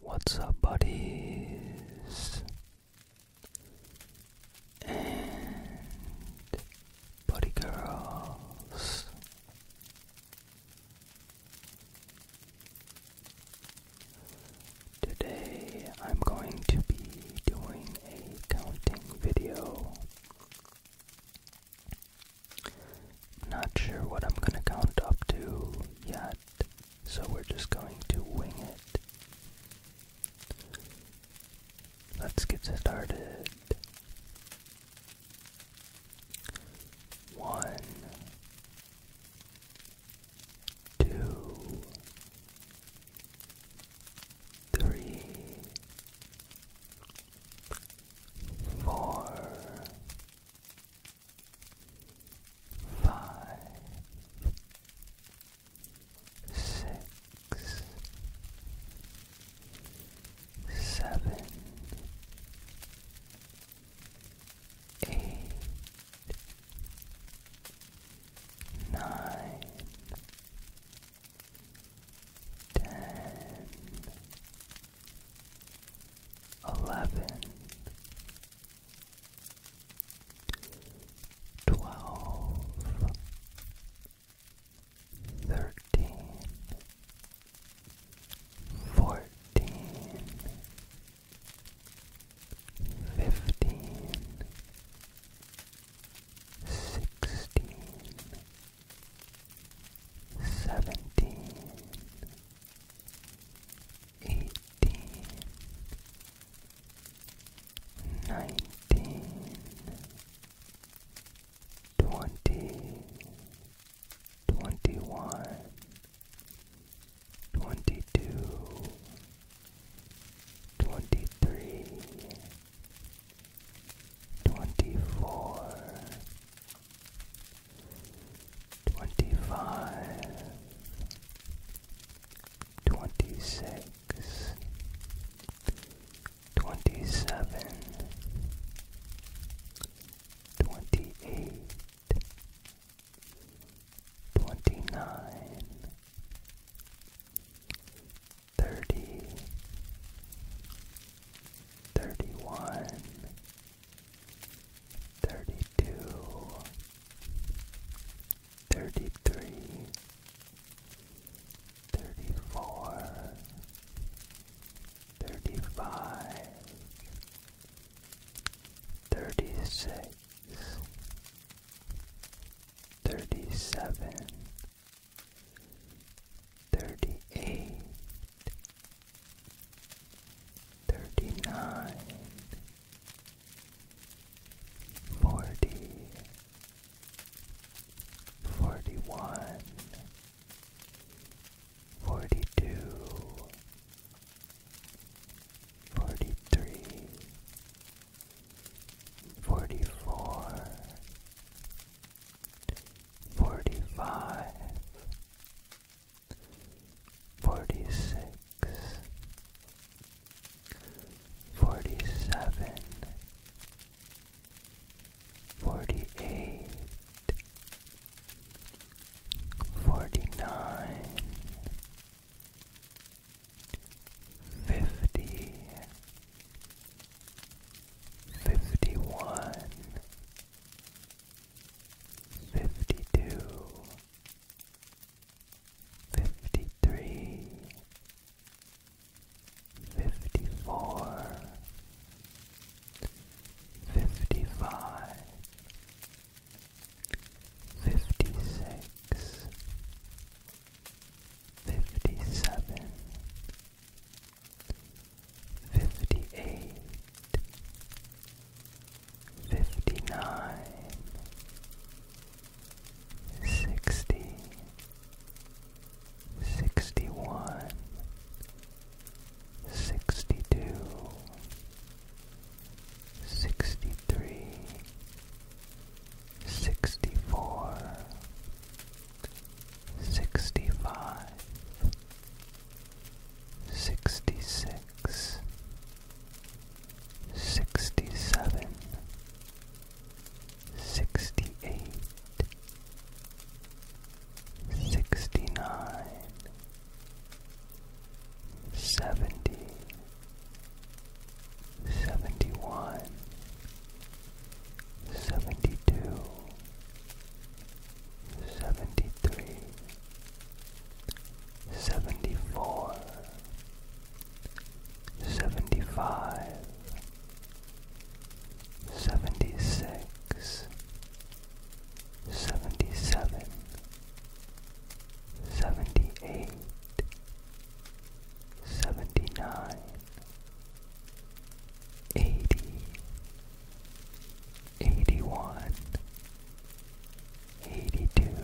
What's up, buddies? And buddy girls. Today I'm going to be doing a counting video. Not sure what I'm going to count up to yet so we're just going to wing it. Let's get started. One, two, three, four, five, six, seven, eight, nine, ten eleven, twelve, thirteen, fourteen, fifteen, sixteen, seventeen eighteen, nineteen, twenty, twenty one, twenty two, twenty three, twenty four twenty-five, twenty-six, twenty-seven, twenty-eight, twenty-nine, thirty, thirty-one thirty-two, thirty-three, thirty-four, thirty-five, thirty-six, thirty-seven, thirty-eight. Thirty-nine, forty, forty-one, forty-two, forty-three, forty-four, forty-five. Forty-six, forty-seven, forty-eight, forty-nine, fifty, fifty-one, fifty two, fifty three, fifty four, fifty five, fifty six, fifty seven fifty eight, fifty nine, sixty, sixty one, sixty two, sixty three, sixty four. Sixty five, 66 67 68 69 70 71 72 seventy three, seventy four, seventy five, seventy six, seventy seven, seventy eight. 79 80 81 82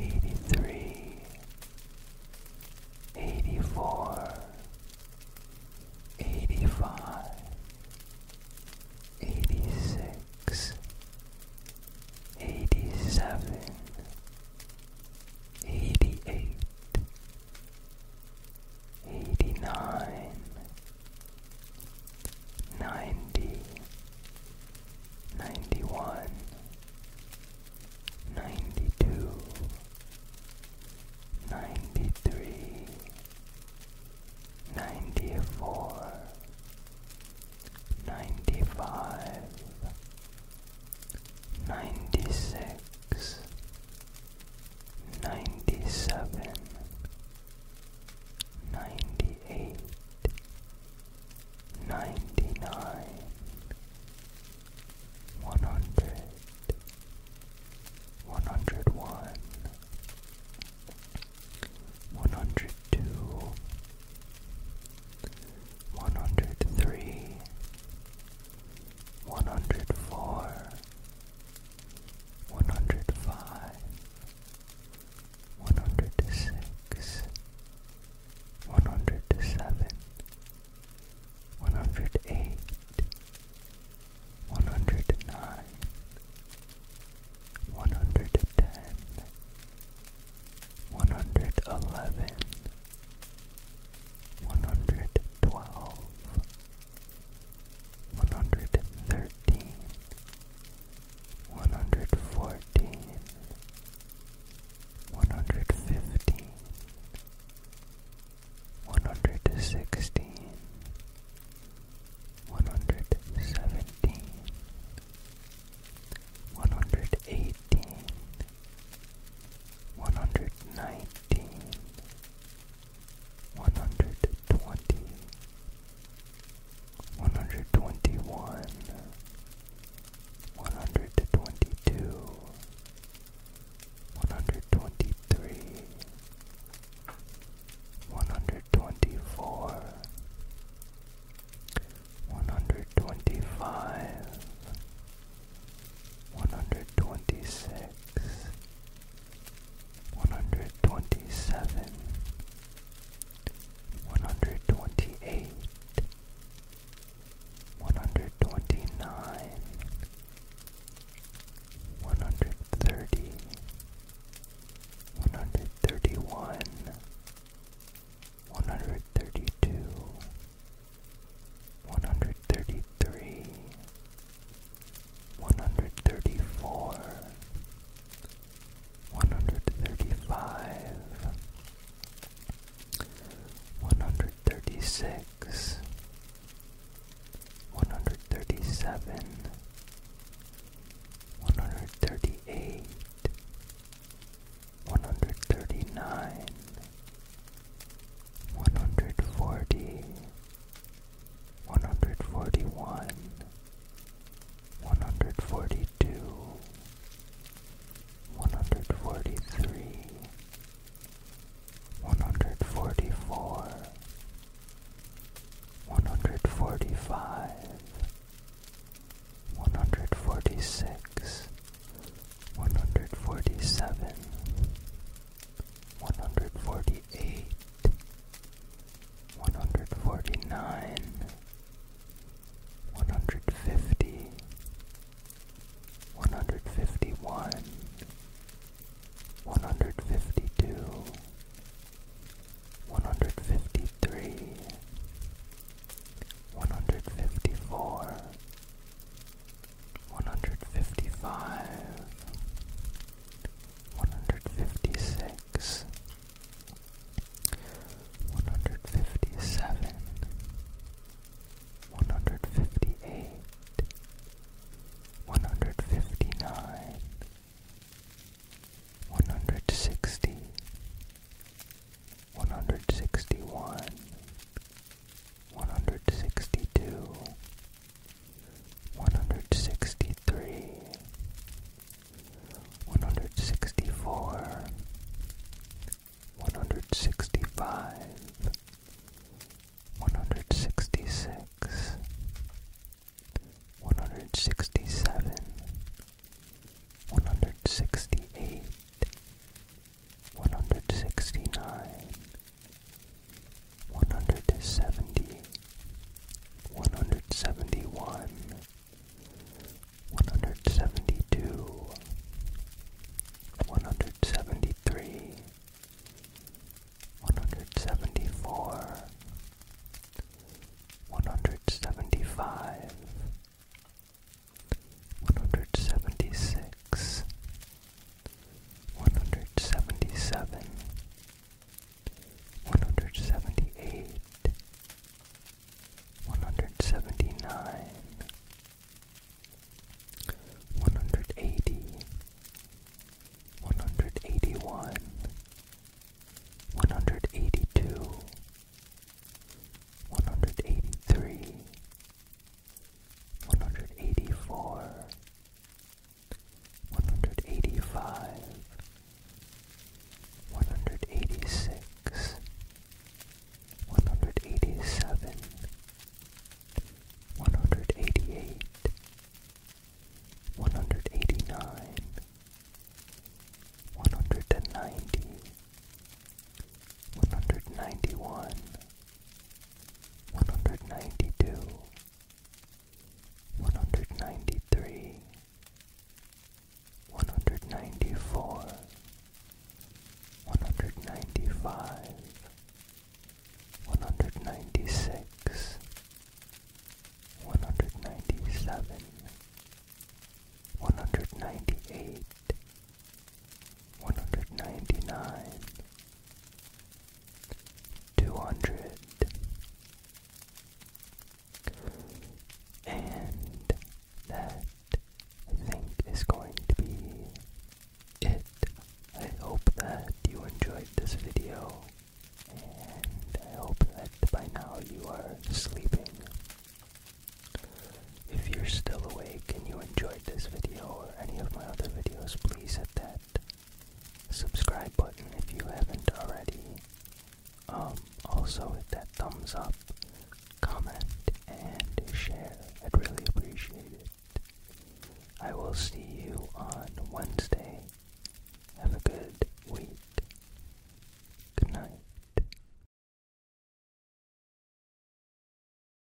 83 84 85 86 87 88 eighty nine, ninety, ninety one, ninety two, ninety three, ninety four, ninety five, ninety six ninety seven, ninety eight, ninety nine, one hundred, one hundred one, one hundred two, one hundred three, one hundred four. 104 one hundred five, one hundred six, one hundred seven, one hundred eight, one hundred nine, one hundred ten, one hundred eleven, one hundred twelve. 110 111 112 one hundred thirteen, one hundred fourteen, one hundred fifteen, one hundred sixteen, one hundred seventeen, one hundred eighteen, one hundred nineteen one hundred twenty, one hundred twenty one, one hundred twenty two, one hundred twenty three, one hundred twenty four, one hundred twenty five one hundred twenty six, one hundred twenty seven, one hundred twenty eight, one hundred twenty nine, one hundred thirty, one hundred thirty one, one hundred thirty two. 131 132 one hundred thirty three, one hundred thirty four, one hundred thirty five, one hundred thirty six, one hundred thirty seven, one hundred thirty eight. One hundred thirty nine, one hundred forty. One hundred forty-one. hundred forty one, one hundred forty two, one hundred forty three, one hundred forty four, one hundred forty five. 146 147 one hundred forty eight, one hundred forty nine, one hundred fifty, one hundred fifty one, one hundred fifty two, one hundred fifty three, one hundred fifty four one hundred fifty five, one hundred fifty six, one hundred fifty seven, one hundred fifty eight, one hundred fifty nine, one hundred sixty. 161 162 one hundred sixty three, one hundred sixty four, one hundred sixty five, one hundred sixty six, one hundred sixty seven, one hundred sixty eight one hundred sixty nine, one hundred seventy, one hundred seventy one, one hundred seventy two, one hundred seventy three, one hundred seventy four, one hundred seventy five. One hundred seventy six, one hundred seventy seven, one hundred seventy eight, one hundred seventy nine, one hundred eighty, one hundred eighty one, one hundred eighty two, one hundred eighty three. 182 183 one hundred eighty four, one hundred eighty five, one hundred eighty six, one hundred eighty seven, one hundred eighty eight, one hundred eighty nine, one hundred and ninety, one hundred ninety one. 191 one hundred ninety two, one hundred ninety three, one hundred ninety four, one hundred ninety five, one hundred ninety six, one hundred ninety seven, one hundred ninety eight one hundred ninety nine, two hundred, and that I think is going to be it. I hope that you enjoyed this video, and I hope that by now you are sleeping. If you're still awake and you enjoyed this video, any of my other videos, please hit that subscribe button if you haven't already. Um, also hit that thumbs up, comment, and share. I'd really appreciate it. I will see you on Wednesday. Have a good week. Good night.